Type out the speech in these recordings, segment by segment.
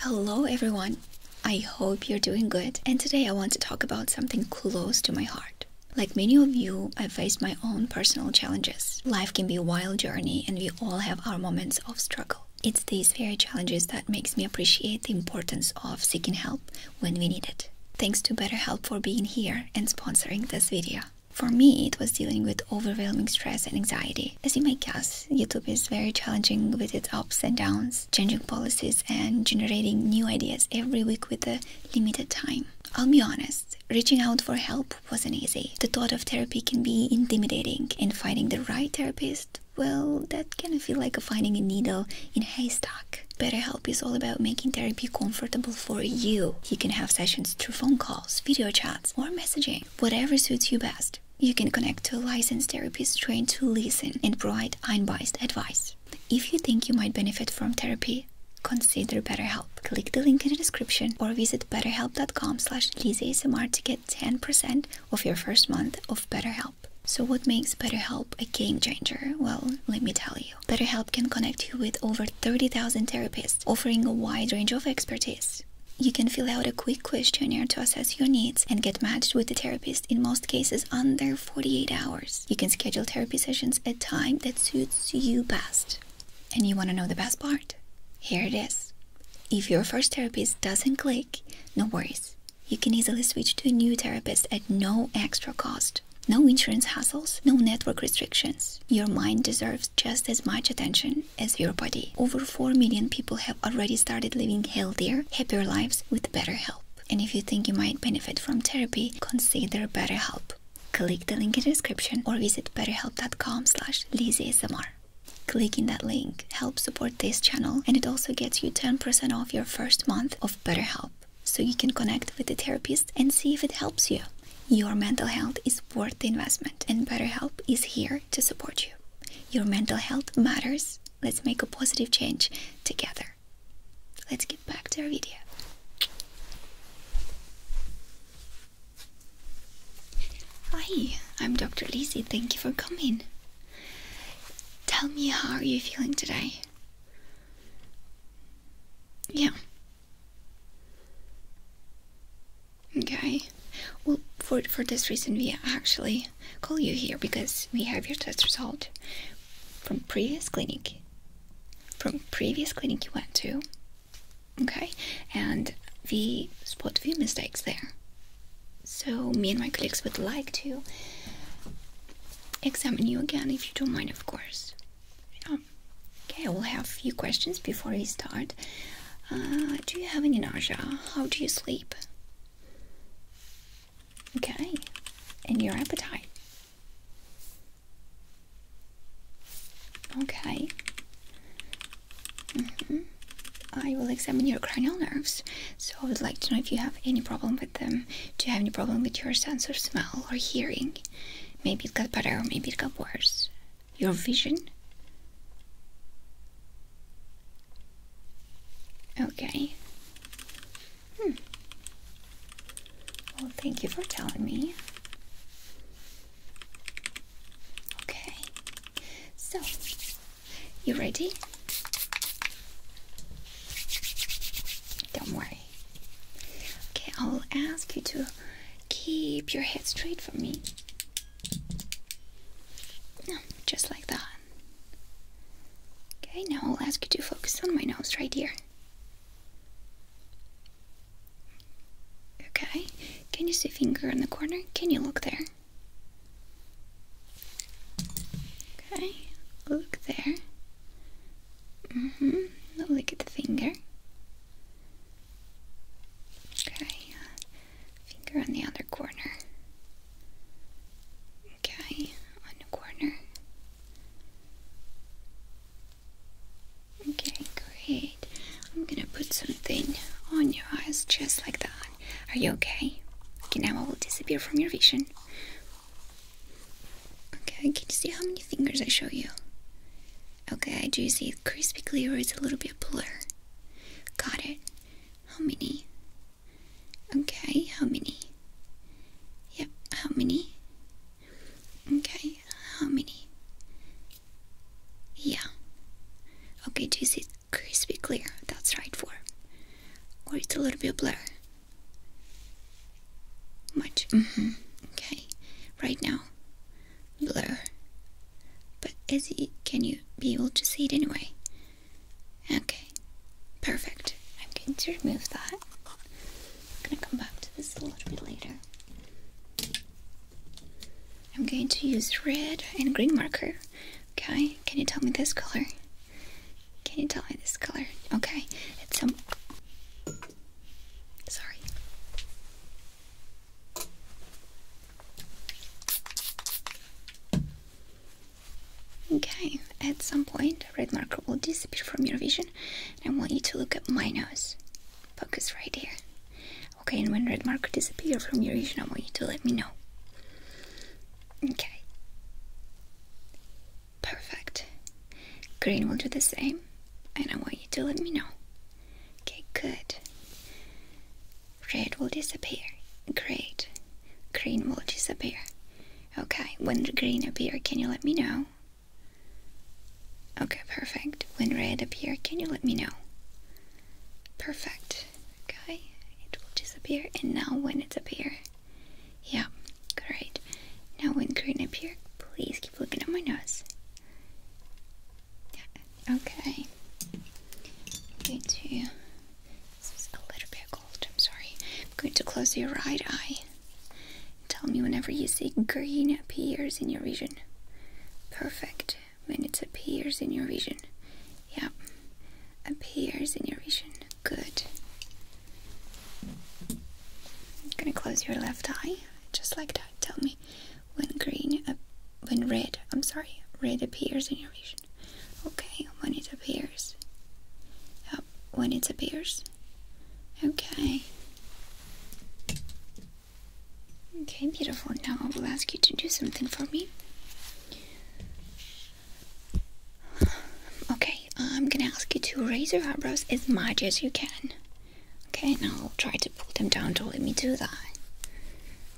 Hello everyone! I hope you're doing good and today I want to talk about something close to my heart. Like many of you, I faced my own personal challenges. Life can be a wild journey and we all have our moments of struggle. It's these very challenges that makes me appreciate the importance of seeking help when we need it. Thanks to BetterHelp for being here and sponsoring this video. For me, it was dealing with overwhelming stress and anxiety as you might guess, YouTube is very challenging with its ups and downs, changing policies, and generating new ideas every week with a limited time. I'll be honest, reaching out for help wasn't easy. The thought of therapy can be intimidating, and finding the right therapist, well, that can feel like finding a needle in a haystack. BetterHelp is all about making therapy comfortable for you. You can have sessions through phone calls, video chats, or messaging. Whatever suits you best. You can connect to a licensed therapist trained to listen and provide unbiased advice. If you think you might benefit from therapy, consider BetterHelp. Click the link in the description or visit betterhelp.com slash LizASMR to get 10% of your first month of BetterHelp. So what makes BetterHelp a game changer? Well, let me tell you. BetterHelp can connect you with over 30,000 therapists, offering a wide range of expertise. You can fill out a quick questionnaire to assess your needs and get matched with a therapist in most cases under 48 hours. You can schedule therapy sessions at time that suits you best. And you want to know the best part? Here it is. If your first therapist doesn't click, no worries. You can easily switch to a new therapist at no extra cost. No insurance hassles, no network restrictions. Your mind deserves just as much attention as your body. Over 4 million people have already started living healthier, happier lives with BetterHelp. And if you think you might benefit from therapy, consider BetterHelp. Click the link in the description or visit betterhelp.com slash lizzyasmr. Clicking that link helps support this channel and it also gets you 10% off your first month of BetterHelp so you can connect with a therapist and see if it helps you. Your mental health is worth the investment, and BetterHelp is here to support you. Your mental health matters. Let's make a positive change together. Let's get back to our video. Hi, I'm Dr. Lizzie. Thank you for coming. Tell me how are you feeling today? Yeah. Okay. Well, for for this reason, we actually call you here because we have your test result from previous clinic, from previous clinic you went to. Okay, and we spot a few mistakes there. So me and my colleagues would like to examine you again, if you don't mind, of course. Um, okay, we will have a few questions before we start. Uh, do you have any nausea? How do you sleep? Okay, and your appetite. Okay. Mm-hmm. I will examine your cranial nerves, so I would like to know if you have any problem with them. Do you have any problem with your sense of smell or hearing? Maybe it got better or maybe it got worse. Your vision? Okay. Hmm. Well, thank you for telling me. Okay. So, you ready? Don't worry. Okay, I'll ask you to keep your head straight for me. Just like that. Okay, now I'll ask you to focus on my nose right here. Okay, can you see finger in the corner? Can you look there? Okay, look there. Mm-hmm. Look at the finger. Okay. Finger on the other corner. Okay, on the corner. Okay, great. I'm gonna put something on your eyes just like that. Are you okay? Okay, now I will disappear from your vision. Okay, can you see how many fingers I show you? Okay, I do see it crispy clear or it's a little bit blur? Got it. How many? Okay, how many? Yep, how many? Okay, how many? Yeah. Okay, do you see crispy clear? That's right for. Or it's a little bit blur. Much. Mm-hmm, okay. Right now. Blur. But is it, can you be able to see it anyway? Okay, perfect. I'm going to remove that. I'm going to come back to this a little bit later. I'm going to use red and green marker. Okay, can you tell me this color? Can you tell me this color? Okay, it's some. Sorry. Okay, at some point a red marker will disappear from your vision and I want you to look at my nose. Focus right here. Okay, and when red marker disappears from your vision, I want you to let me know. Okay. Perfect. Green will do the same and I want you to let me know. Okay, good. Red will disappear. Great. Green will disappear. Okay, when the green appear, can you let me know? Okay, perfect. When red appear, can you let me know? Perfect. Okay, it will disappear. And now when it's appear, yeah, great. Now when green appear, please keep looking at my nose. Yeah, Okay. I'm going to. a little bit cold, I'm sorry. going to close your right eye. Tell me whenever you see green appears in your vision. Perfect. When it appears in your vision. Yep. Appears in your vision. Good. I'm gonna close your left eye, just like that. Tell me when green, when red, I'm sorry, red appears in your vision. Okay, when it appears. Yep, when it appears. Okay. Okay, beautiful. Now I will ask you to do something for me. Okay, I'm gonna ask you to raise your eyebrows as much as you can. Okay, now I'll try to pull them down to let me do that.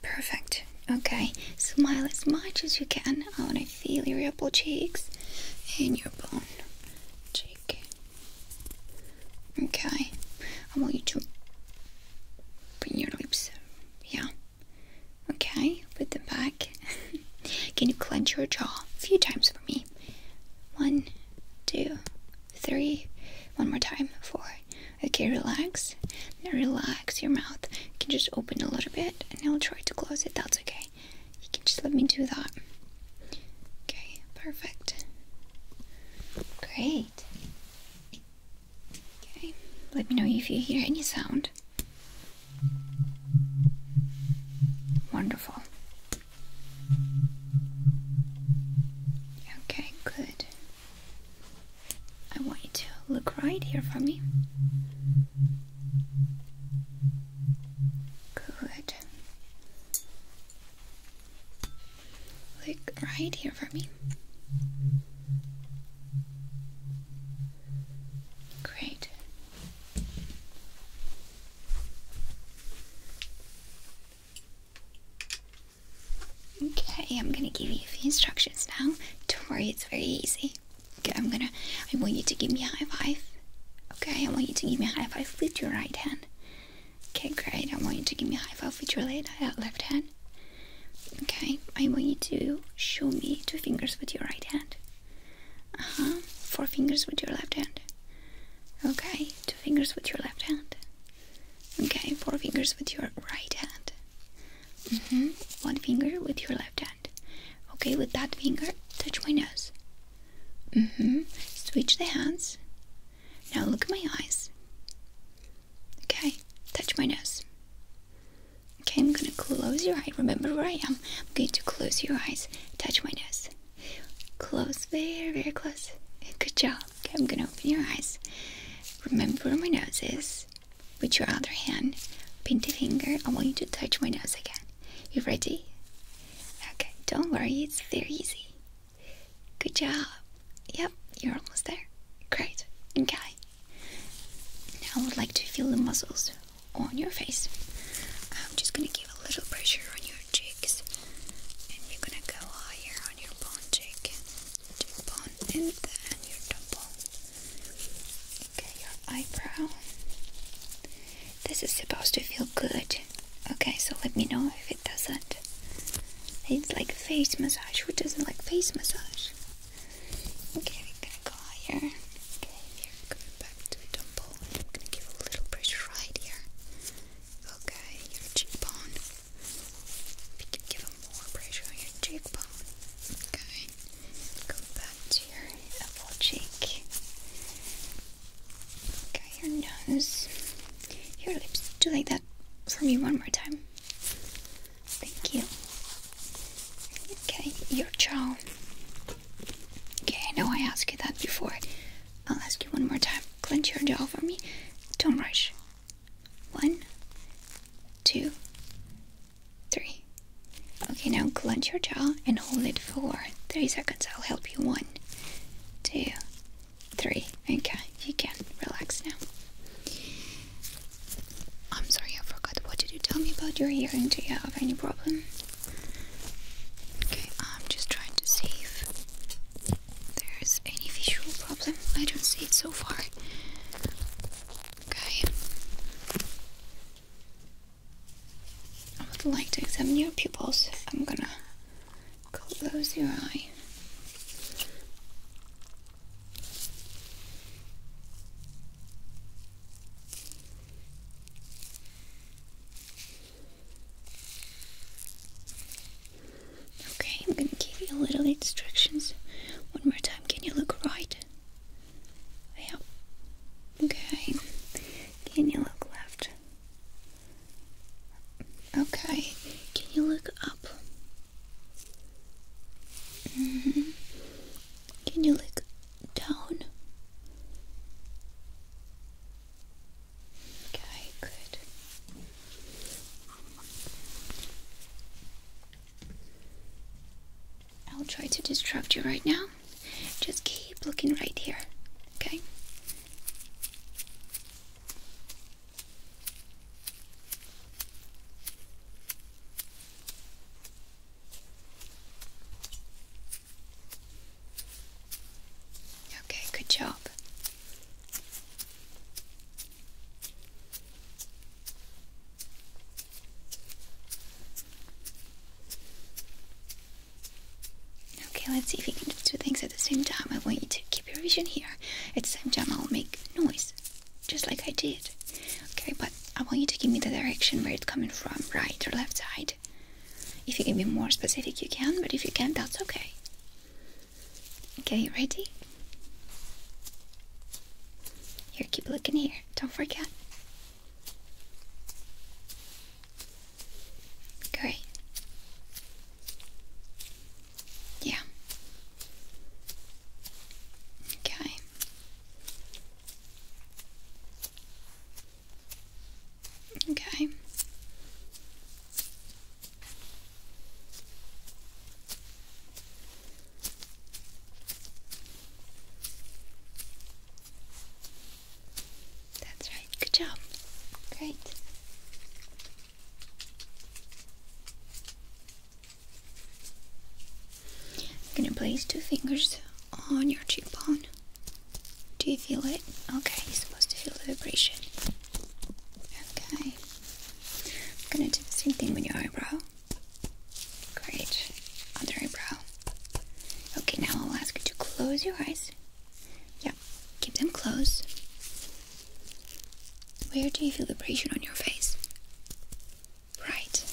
Perfect. Okay, smile as much as you can. I want to feel your apple cheeks and your bone cheek. Okay, I want you to bring your lips. Yeah. Okay, put them back. can you clench your jaw a few times for me? One, two, three. One more time. Four, Okay, relax. Now relax your mouth. You can just open a little bit and I'll try to close it. That's okay. You can just let me do that. Okay, perfect. Great. Okay, let me know if you hear any sound. Wonderful. Okay, good. I want you to look right here for me. Good. Look right here for me. Great. Okay, I'm gonna give you a few instructions now. Don't worry, it's very easy. Okay, I'm gonna. I want you to give me a high five. Okay, I want you to give me a high five with your right hand. Okay, great. I want you to give me a high five with your left uh, hand. Okay, I want you to show me two fingers with your right hand. Uh huh. Four fingers with your left hand. Okay, two fingers with your left hand. Okay, four fingers with your right hand. Mm-hmm. One finger with your left hand. Okay, with that finger, touch my nose. Mm hmm. Switch the hands. Now look at my eyes. Okay, touch my nose. Okay, I'm gonna close your eye. Remember where I am. I'm going to close your eyes. Touch my nose. Close, very, very close. Good job. Okay, I'm gonna open your eyes. Remember where my nose is. With your other hand, pinky finger, I want you to touch my nose again. You ready? Okay, don't worry, it's very easy. Good job. Yep, you're almost there. Great. Okay. Now I would like to feel the muscles on your face. I'm just gonna give a little pressure on your cheeks and you are gonna go higher on your bone cheek, cheekbone and then your temple. Okay, your eyebrow. This is supposed to feel good. Okay, so let me know if it doesn't. It's like face massage. Who doesn't like face massage? Okay, we're gonna go here. Okay, here, go back to the temple. gonna give a little pressure right here. Okay, your cheekbone. If you could give him more pressure on your cheekbone. Okay. Go back to your apple cheek. Okay, your nose. Your lips. Do like that for me one more time. Thank you. Okay, your jaw. Okay, I know I asked you that before. I'll ask you one more time. Clench your jaw for me. Don't rush. One, two, three. Okay, now clench your jaw and hold it for three seconds. I'll help you. One, two, three. Okay, you can relax now. I'm sorry, I forgot. What did you tell me about your hearing? Do you have any problem? Okay, I'm just trying to see if there's any visual problem. I don't see it so far. Okay. I would like to examine your pupils. I'm gonna close your eye. Okay, I'm gonna give you a little instructions. One more time. Can you look right yeah. Okay. Can you look left? Okay. Can you look up? Mm-hmm. Can you look down? Okay, good. I'll try to distract you right now. Just keep looking right here, okay? Okay, good job. Okay, let's see if you can do things at the same time. I want you to keep your vision here. At the same time, I'll make noise, just like I did. Okay, but I want you to give me the direction where it's coming from, right or left side. If you can be more specific, you can, but if you can't, that's okay. Okay, ready? Here, keep looking here. Don't forget. Great. Yeah. Okay. Okay. That's right. Good job. Great. I'm gonna place two fingers on your cheekbone. Do you feel it? Okay, you're supposed to feel the vibration. Okay. I'm gonna do the same thing with your eyebrow. Great. Other eyebrow. Okay, now I'll ask you to close your eyes. Yep, keep them closed. Where do you feel the pressure on your face? Right.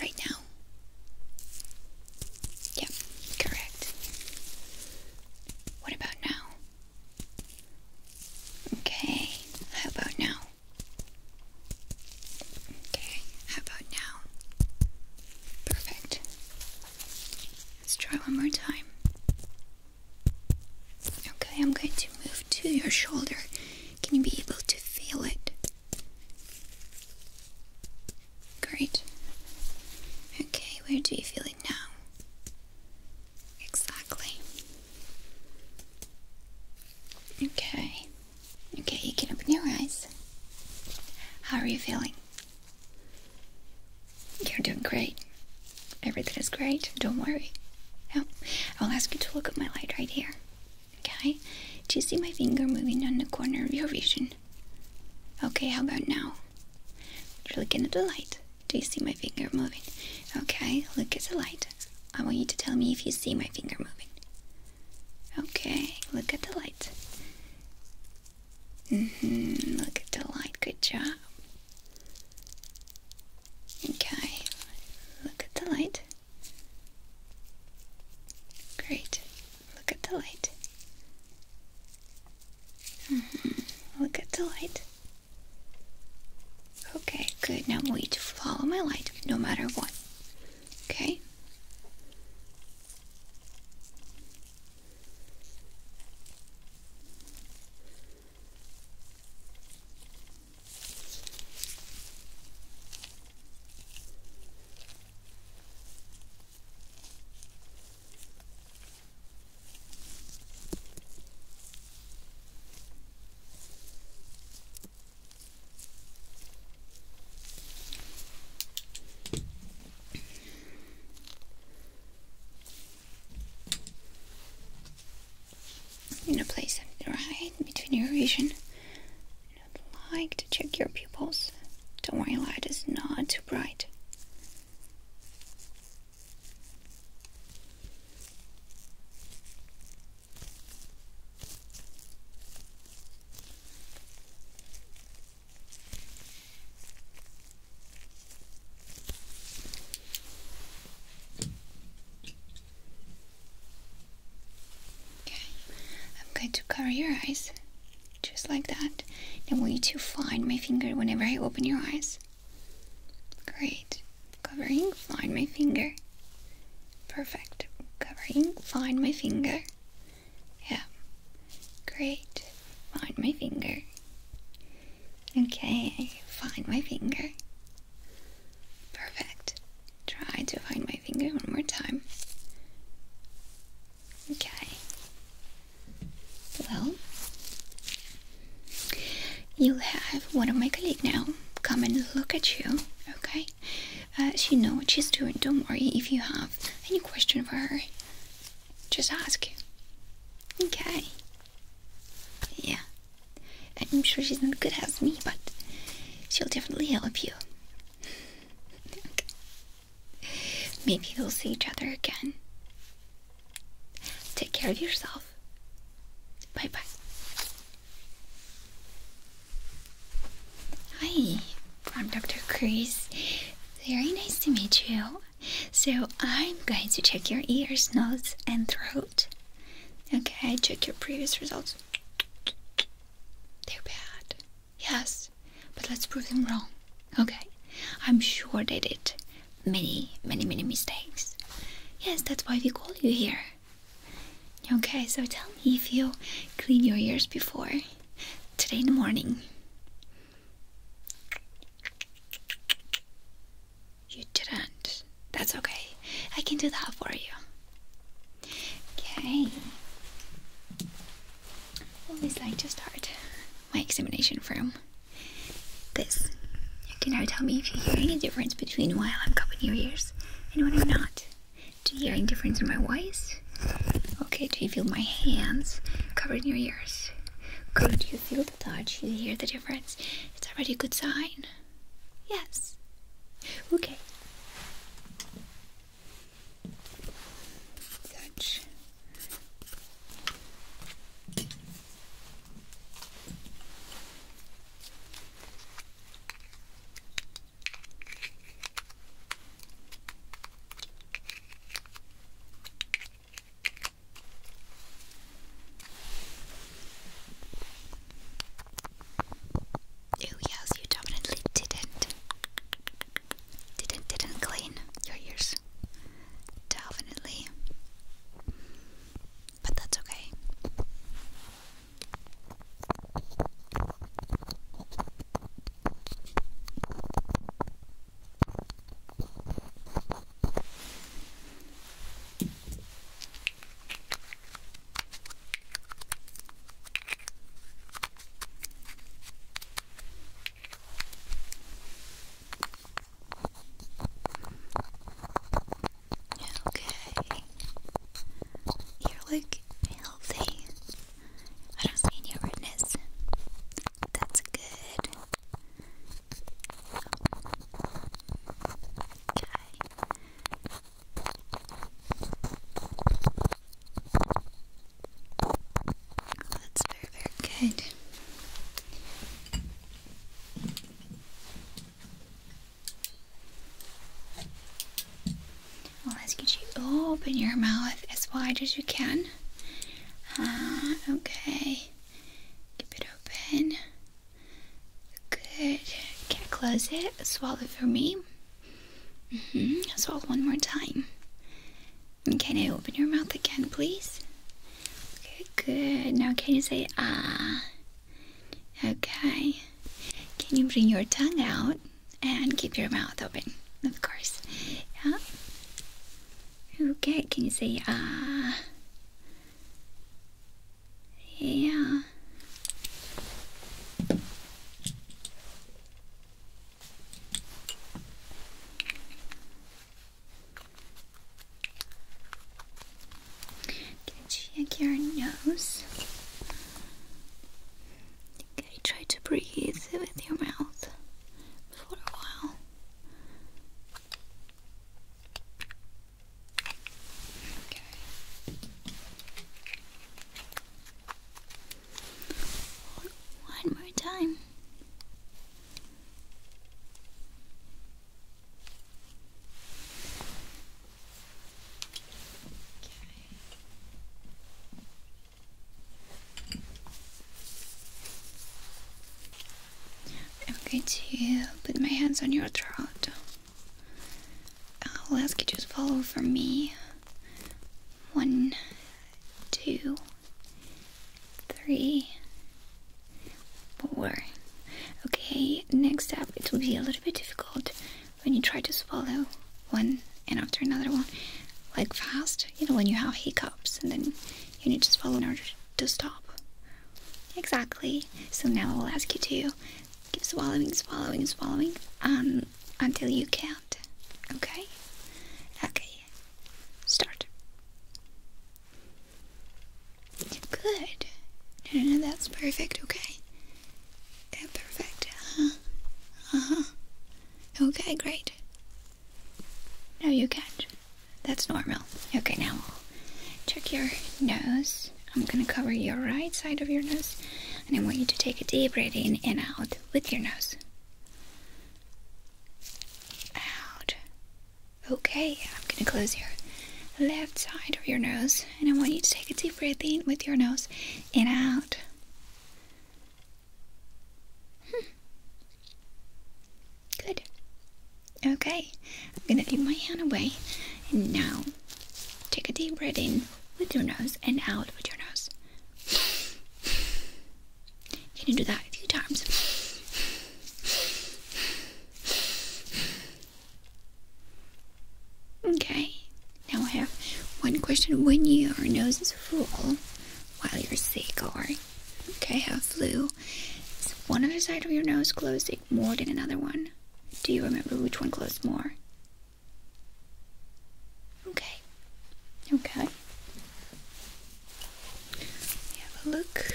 Right now. Yep, correct. What about now? Okay, how about now? Okay, how about now? Perfect. Let's try one more time. Okay, I'm going to move to your shoulder. Can you be able to feel it? Great. Okay, where do you feel it now? Exactly. Okay. Okay, you can open your eyes. How are you feeling? You're doing great. Everything is great. Don't worry. Now, I'll ask you to look at my light right here. Okay? Do you see my finger moving on the corner of your vision? Okay, how about now? You're looking at the light. Do you see my finger moving? Okay, look at the light. I want you to tell me if you see my finger moving. Okay, look at the light. hmm look at the light. Good job. Okay, look at the light. Great, look at the light. -hmm. Look at the light. Okay, good. Now I want you to follow my light no matter what. Okay? I'm gonna place it right between your vision. I'd like to check your pupils. Don't worry, light is not too bright. Okay, I'm going to cover your eyes just like that. And want you to find my finger whenever I open your eyes. Great. Covering, find my finger. Perfect. Covering, find my finger. Yeah. Great. Find my finger. Okay, find my finger. Perfect. Try to find my finger one more time. Okay. Well, You'll have one of my colleagues now come and look at you, okay? Uh, she knows what she's doing. Don't worry if you have any question for her. Just ask. Okay. Yeah. I'm sure she's not good as me, but she'll definitely help you. Maybe we'll see each other again. Take care of yourself. Bye bye. Hi, I'm Dr. Chris. Very nice to meet you. So, I'm going to check your ears, nose, and throat. Okay, check your previous results. They're bad. Yes, but let's prove them wrong. Okay, I'm sure they did many, many, many mistakes. Yes, that's why we call you here. Okay, so tell me if you clean your ears before today in the morning. You didn't. That's okay. I can do that for you. Okay. Always like to start my examination from this. You now tell me if you hear any difference between while I'm covering your ears and when I'm not. Do you hear any difference in my voice? Okay, do you feel my hands covering your ears? Good, do you feel the touch? You hear the difference? It's already a good sign. Yes. Okay. Touch. Oh yes, you definitely didn't. Didn't didn't clean your ears. Definitely but that's okay. Okay. You look healthy. I don't see any redness. That's good. Okay. That's very, very good. I'll ask you open your mouth as wide as you can. Uh, okay. Keep it open. Good. Can't close it. Swallow for me. Mm -hmm. Swallow one more time. Can I open your mouth again, please? Okay, good. Now can you say ah? Okay. Can you bring your tongue out and keep your mouth open? Of course. Yeah. Okay, can you say ah? Yeah. Can check your nose. Okay, try to breathe with your mouth for a while. Okay. One more time. I'm going to put my hands on your throat. I'll ask you to follow for me. One, two, three, four. Okay, next up it will be a little bit difficult when you try to swallow one and after another one, like fast, you know, when you have hiccups and then you need to swallow in order to stop. Exactly. So now I'll ask you to keep swallowing, swallowing, swallowing um, until you can't. Okay? Okay. Start. Good. No, no, no, that's perfect, okay? perfect. Uh-huh. Uh-huh. Okay, great. No, you can't. That's normal. Okay, now check your nose. I'm gonna cover your right side of your nose, and I want you to take a deep breath in and out with your nose. Out. Okay, I'm gonna close your left side of your nose, and I want you to take a deep breath in with your nose and out. Hmm. Good. Okay, I'm gonna leave my hand away, and now take a deep breath in with your nose and out with your nose. Can you do that a few times? Okay, now I have one question. When your nose is full while you're sick or okay, have flu, is one other side of your nose closing more than another one? Do you remember which one closed more? Okay. Okay. Have a look.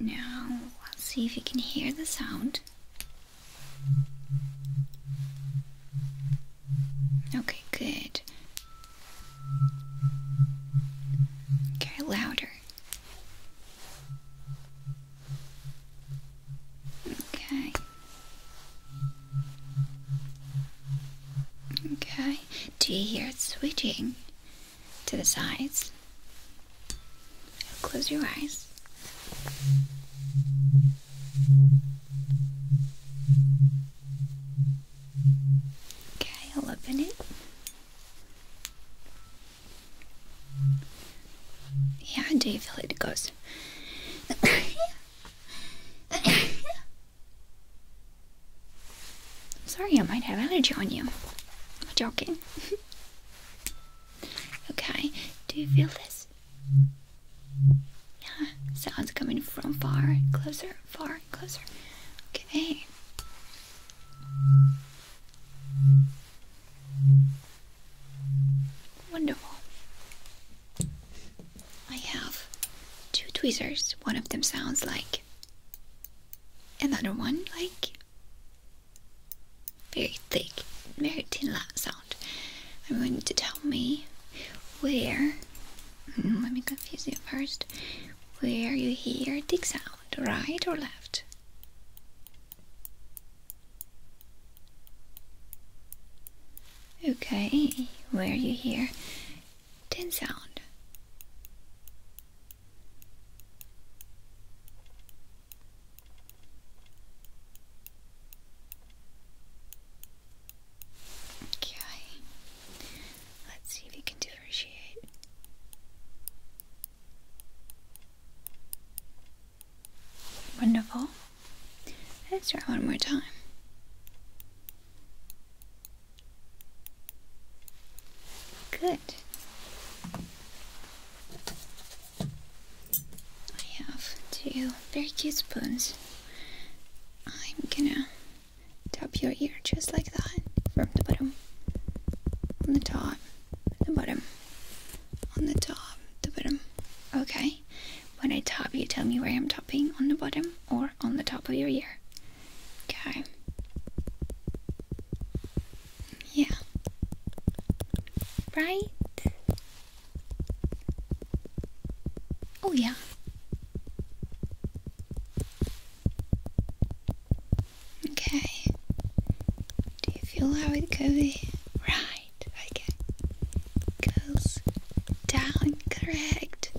Now let's see if you can hear the sound. Okay, good. Okay, louder. Okay. Okay. Do you hear it switching to the sides? Close your eyes. Okay, I'll open it. Yeah, do you feel it goes? Sorry, I might have allergy on you. I'm joking. okay, do you feel this? Yeah, sounds coming from far, closer, far closer. Okay. Wonderful. I have two tweezers. One of them sounds like another one, like very thick, very thin sound. I'm going to tell me where let me confuse you first. Where you hear tick sound, right or left? Okay, where you hear tin sound. Okay. Let's see if you can differentiate. Wonderful. Let's try one more time. Good. I have two very cute spoons. I'm gonna Tap your ear just like that, from the bottom, on the top, the bottom, on the top, the bottom. Okay, when I tap, you tell me where I'm tapping on the bottom or on the top of your ear. Okay. Yeah. Right? Oh, yeah. Okay. Do you feel how it goes? Right. Okay. Goes down. Correct.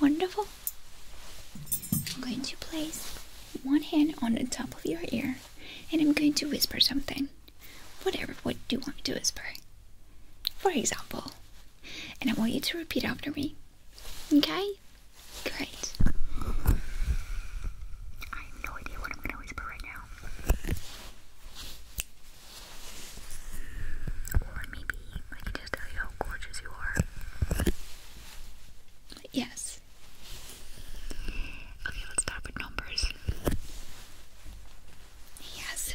Wonderful. I'm going to place one hand on the top of your ear and I'm going to whisper something. Whatever. What do you want me to whisper? For example. And I want you to repeat after me. Okay? Great. I have no idea what I'm going to whisper right now. Or maybe I can just tell you how gorgeous you are. Yes. Okay, let's start with numbers. Yes.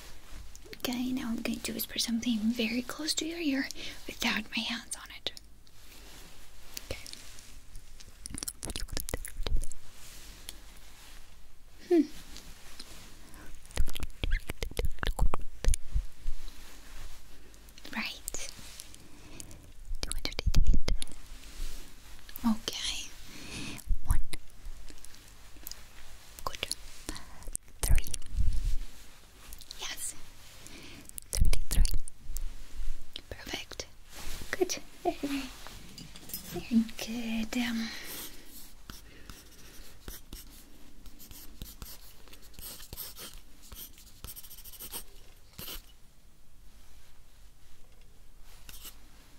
Okay, now I'm going to do whisper something very close to your ear without my hands on it. Okay. Hmm. Right. Okay. One, Good. Three. Yes. Thirty-three. Perfect. Good. Very, very good. Um,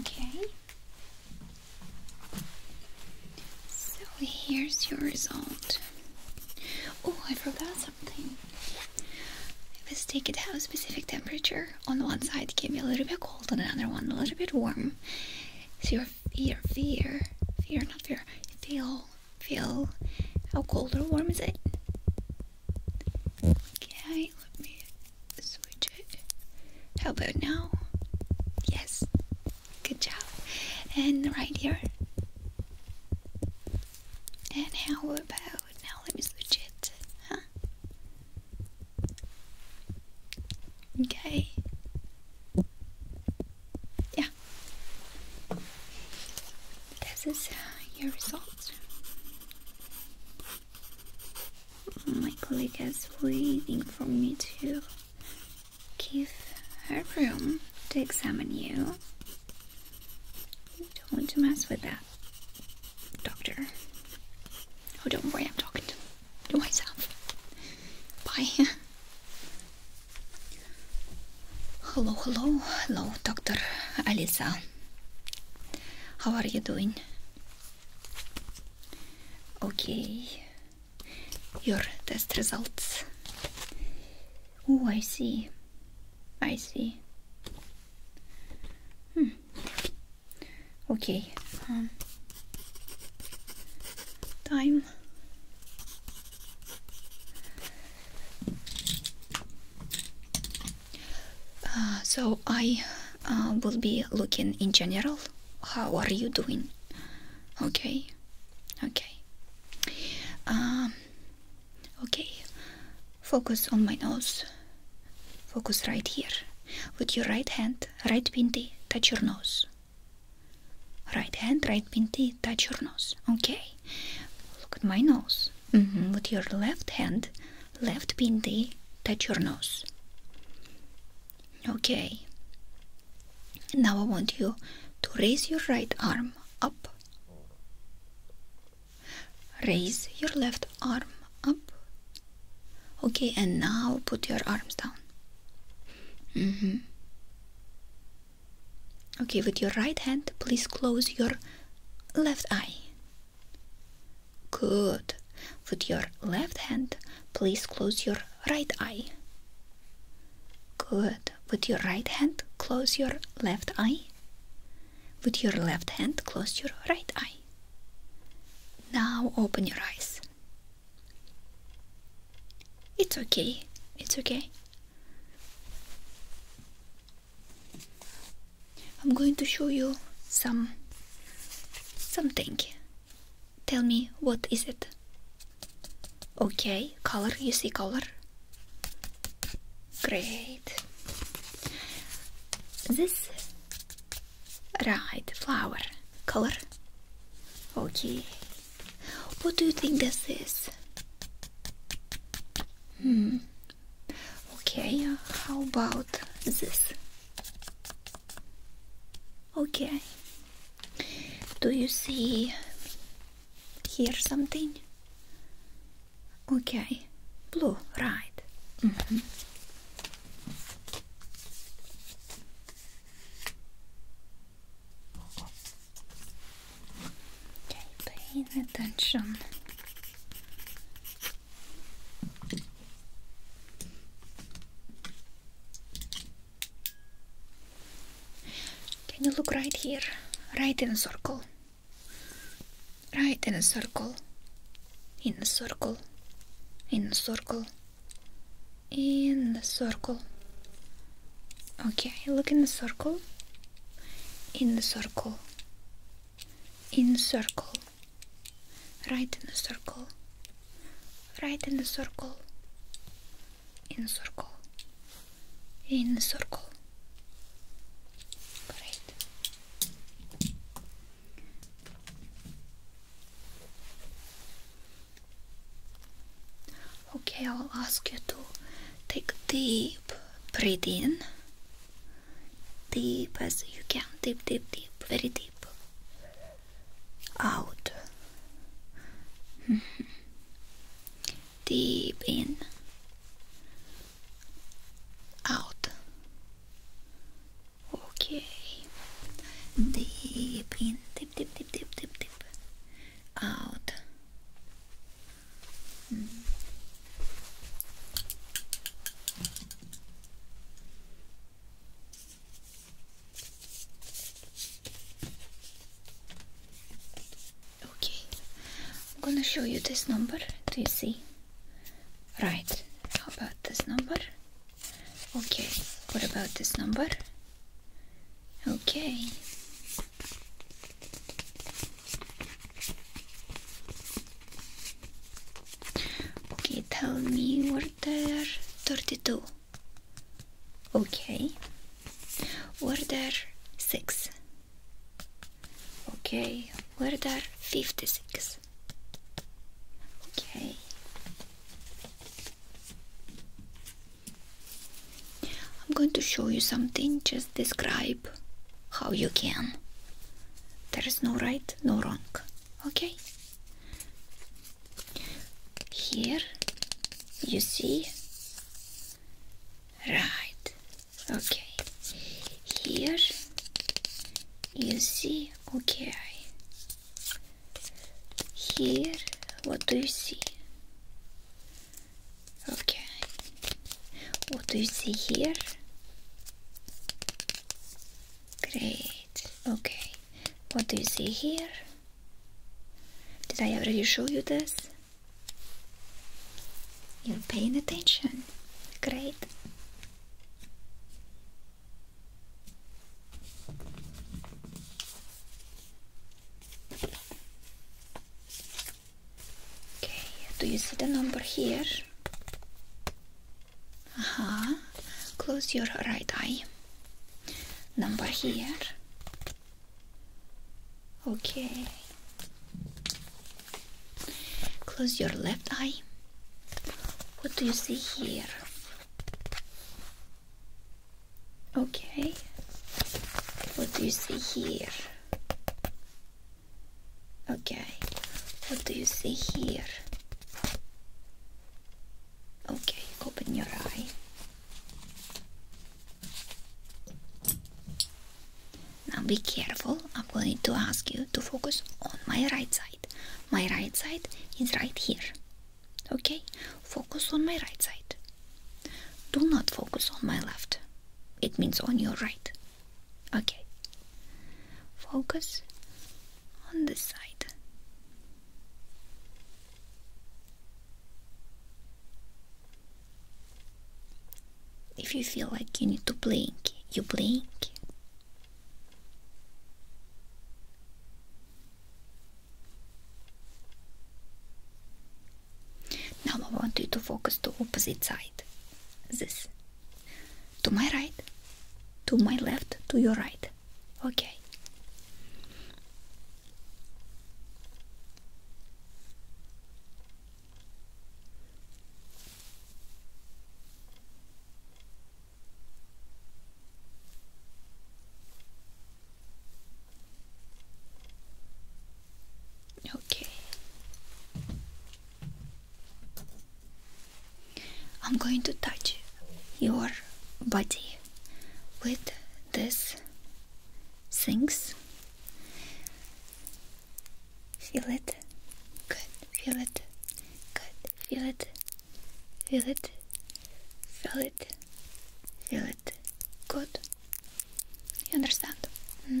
Okay. So here's your result. Oh, I forgot something. The steak it had a specific temperature. On one side, to give me a little bit cold, on another one, a little bit warm. So your fear, fear, fear, not fear, feel, feel. How cold or warm is it? Okay, let me switch it. How about now? Yes, Good job. And right here. And how about now? Let me switch it. Huh? Okay. Yeah. This is uh, your result. My colleague is waiting for me to give her room to examine you. don't want to mess with that, doctor. Oh, don't worry, I'm talking to myself. Bye. Hello, hello, hello, Dr. Alisa. How are you doing? Okay, your test results. Oh, I see. I see. Hmm. Okay. Um, time. Uh, so I uh, will be looking in general. How are you doing? Okay. Okay. Um, okay, focus on my nose. Focus right here. With your right hand, right pinty, touch your nose. Right hand, right pinty, touch your nose. Okay, look at my nose. Mm-hmm. With your left hand, left pinty, touch your nose. Okay, now I want you to raise your right arm up. Raise your left arm up. Okay, and now put your arms down. Mm-hmm. Okay, with your right hand, please close your left eye. Good. With your left hand, please close your right eye. Good. With your right hand, close your left eye. With your left hand, close your right eye. Now open your eyes. It's okay. It's okay. I'm going to show you some something. Tell me what is it? Okay, color, you see color? Great. This right flower color. Okay. What do you think this is? Hmm. Okay, how about this? Okay. Do you see Hear something? Okay, blue, right. Mm-hmm. Okay, paying attention. Can you look right here? Right in a circle. Right in a circle. In a circle. In a circle. In the circle. Okay, look in the circle. In the circle. In circle. Right in a circle. Right in a circle in a circle in a circle great okay I'll ask you to take deep breath in deep as you can deep deep deep very deep out mm-hmm deep in, out. Okay, deep in, deep, deep, deep, deep, deep, deep, out. Mm. Okay, I'm gonna show you this number. Do you see? Right, how about this number? Okay, what about this number? Okay. Okay, tell me where there 32. Okay. Order 6. Okay. Order 56. Okay. I'm going to show you something, just describe how you can. There is no right, no wrong. Okay? Here you see Right. Okay. Here you see. Okay. Here, what do you see? Okay. What do you see here? Great. Okay. What do you see here? Did I already show you this? You're paying attention. Great. Okay, do you see the number here? Aha. Close your right eye. Number here. Okay. Close your left eye. What do you see here? Okay. What do you see here? Okay. What do you see here? Okay, open your eye. Now be careful, I'm going to ask you to focus on my right side. My right side is right here. Okay? Focus on my right side. Do not focus on my left. It means on your right. Okay. Focus on this side. If you feel like you need to blink, you blink. Now I want you to focus to opposite side. This. To my right, to my left, to your right. Okay. Okay. I'm going to touch your body with this Sinks. Feel it. Good. Feel it. Good. Feel it. Feel it. Feel it. Feel it. Good. You understand? Hmm.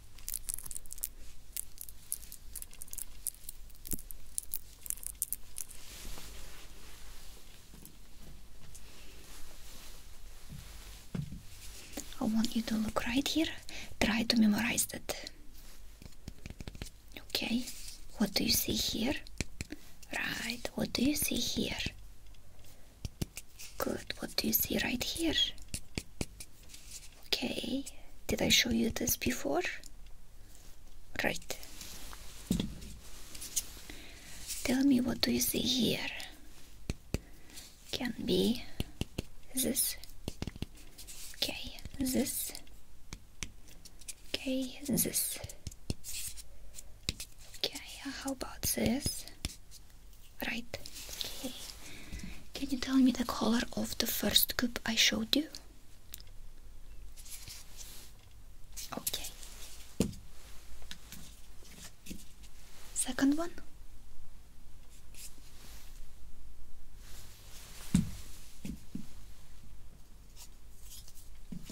I want you to look right here, try to memorize that. Okay, what do you see here? Right, what do you see here? Good, what do you see right here? Okay, did I show you this before? Right. Tell me what do you see here? Can be this. Okay, this. Okay, this. Okay, how about this? Right. Okay. Can you tell me the color of the first cube I showed you? Okay. Second one.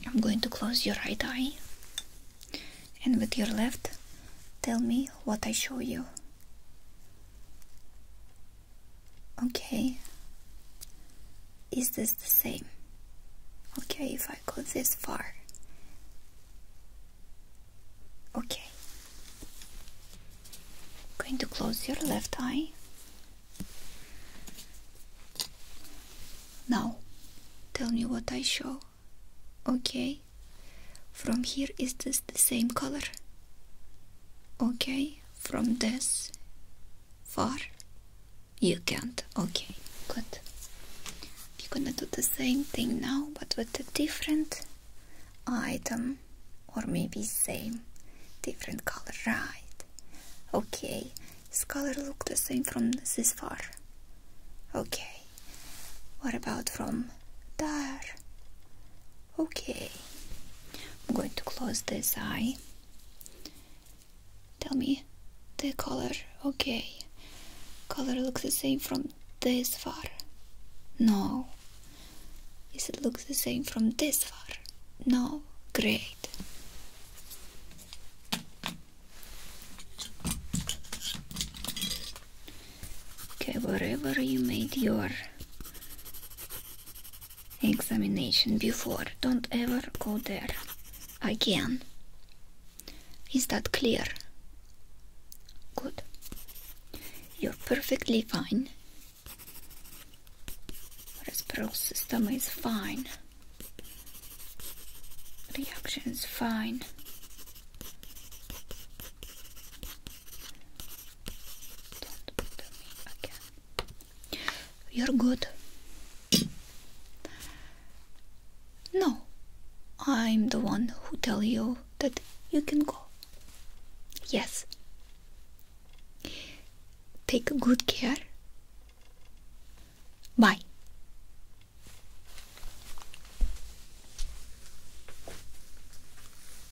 I'm going to close your right eye and with your left tell me what I show you. Okay. Is this the same? Okay, if I go this far. Okay. going to close your left eye. Now, tell me what I show. Okay. From here, is this the same color? okay from this far you can't okay good You are gonna do the same thing now but with a different item or maybe same different color right okay this color look the same from this far okay what about from there Okay, I'm going to close this eye. Tell me the color. Okay, color looks the same from this far. No. Is it looks the same from this far? No. Great. Okay, wherever you made your examination before. Don't ever go there again. Is that clear? Good. You're perfectly fine. Respiratory system is fine. Reaction is fine. Don't bother me again. You're good. No, I'm the one who tell you that you can go. Yes. Take good care. Bye.